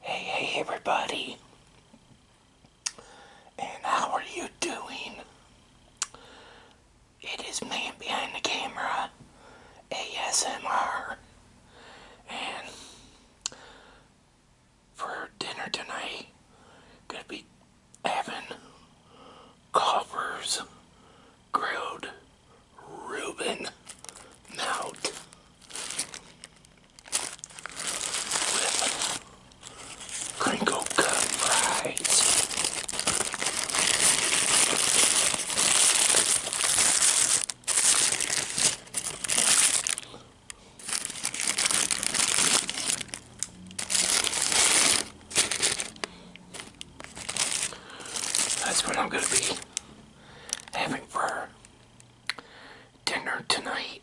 Hey, hey, everybody. And how are you doing? It is me behind the camera, ASMR. And for dinner tonight, gonna be Evan Copper's grilled Reuben Mount crinkle cut fries. That's where I'm going to be having for dinner tonight.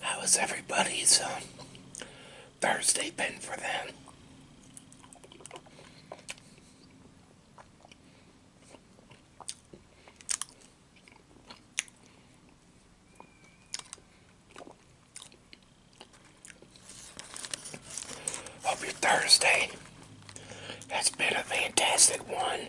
how has everybody's uh, Thursday been for them? Hope your Thursday that has been a fantastic one.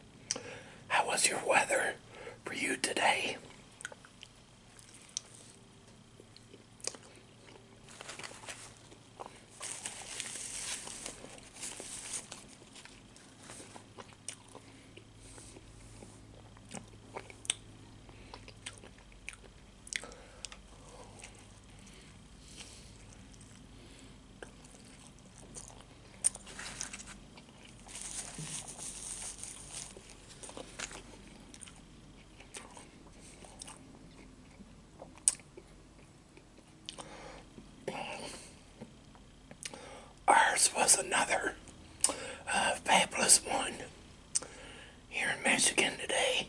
How was your weather for you today? Ours was another uh, fabulous one here in Michigan today.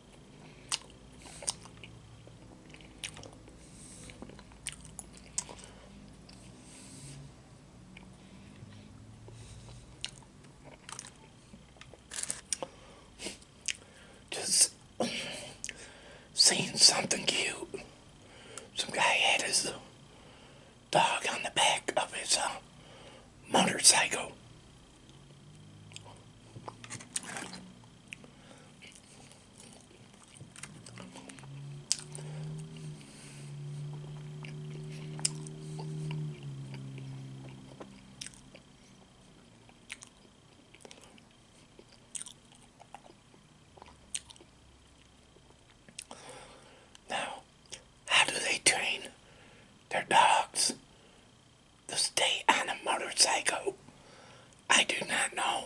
Just seen something cute. Some guy had his dog on the back of his uh, motorcycle. Now, how do they train their dogs the state on a motorcycle? I do not know.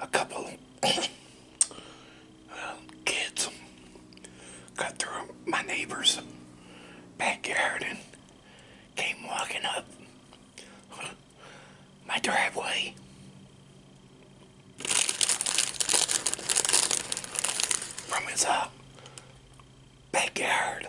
a couple um, kids cut through my neighbor's backyard and came walking up my driveway. From his uh, backyard.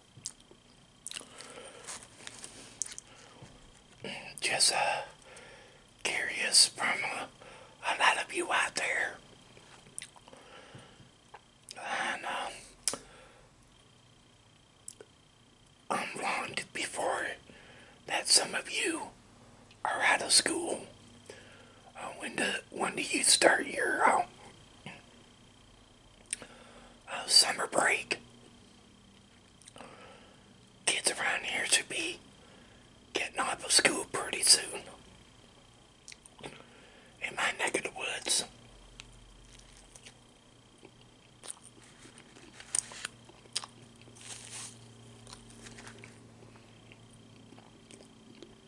Just uh, curious from uh, a lot of you out there. And um, I'm long before that some of you are out of school. Uh, when do when do you start your own? Um, uh, summer break. Kids around here to be getting out of school pretty soon. In my neck of the woods.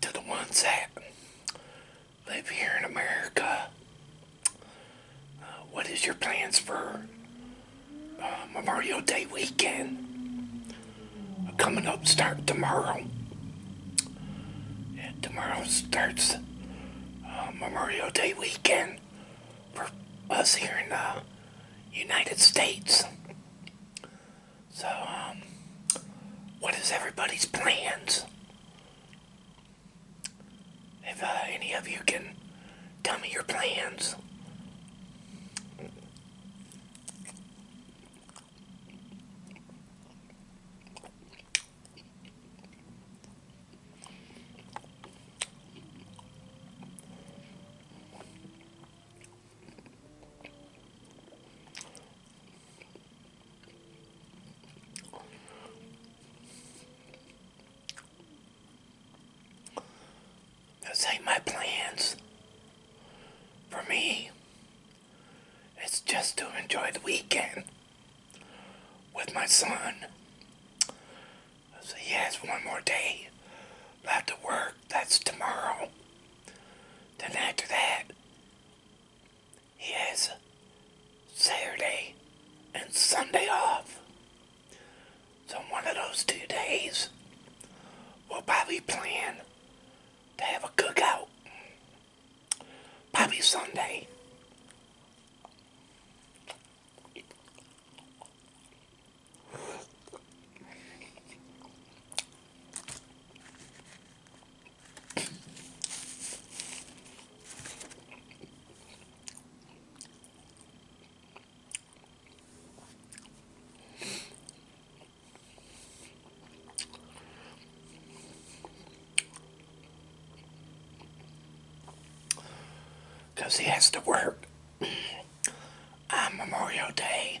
to the ones that live here in America. Uh, what is your plans for uh, Memorial Day weekend? Uh, coming up, start tomorrow. tomorrow starts Memorial Day weekend for us here in the United States. So, um, what is everybody's plans? If uh, any of you can tell me your plans. Those ain't my plans. For me, it's just to enjoy the weekend with my son. So yes, one more day have to work. That's tomorrow. Then after that, he has Saturday and Sunday off. So one of those two days, we'll probably plan to have a cookout. Probably Sunday because he has to work on ah, Memorial Day.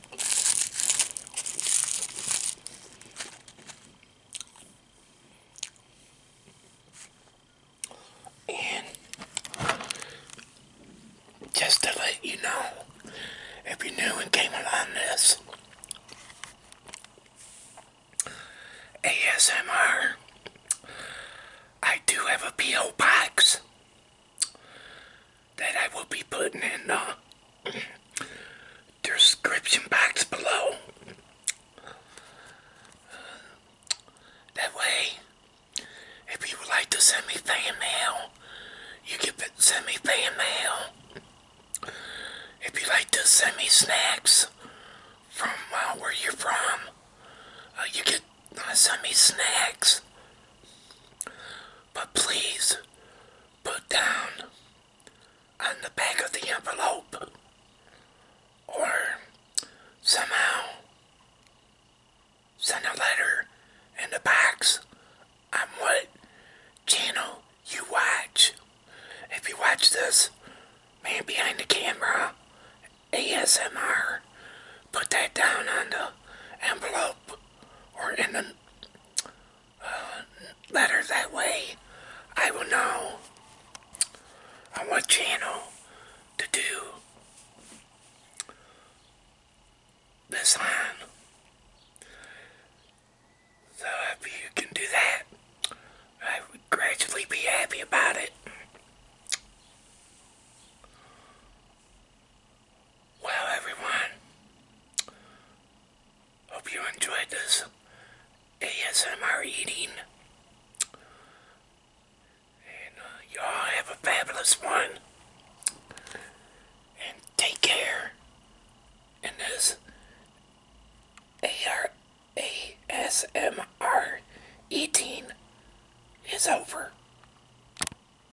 And just to let you know, if you're new and came along this, ASMR, I do have a P.O. box that I will be putting in the uh, description box below. That way, if you would like to send me fan mail, you can send me fan mail. If you like to send me snacks from uh, where you're from, uh, you can send me snacks. But please put down on the back of the envelope or somehow send a letter in the box on what channel you watch. If you watch this, man behind the camera, ASMR, put that down on the envelope or in the uh, That way I will know on what channel to do this on. So if you can do that, I would gradually be happy about it. Well, everyone, hope you enjoyed this ASMR eating. And uh, y'all have a fabulous one. And take care in this A R A S M R eating is over.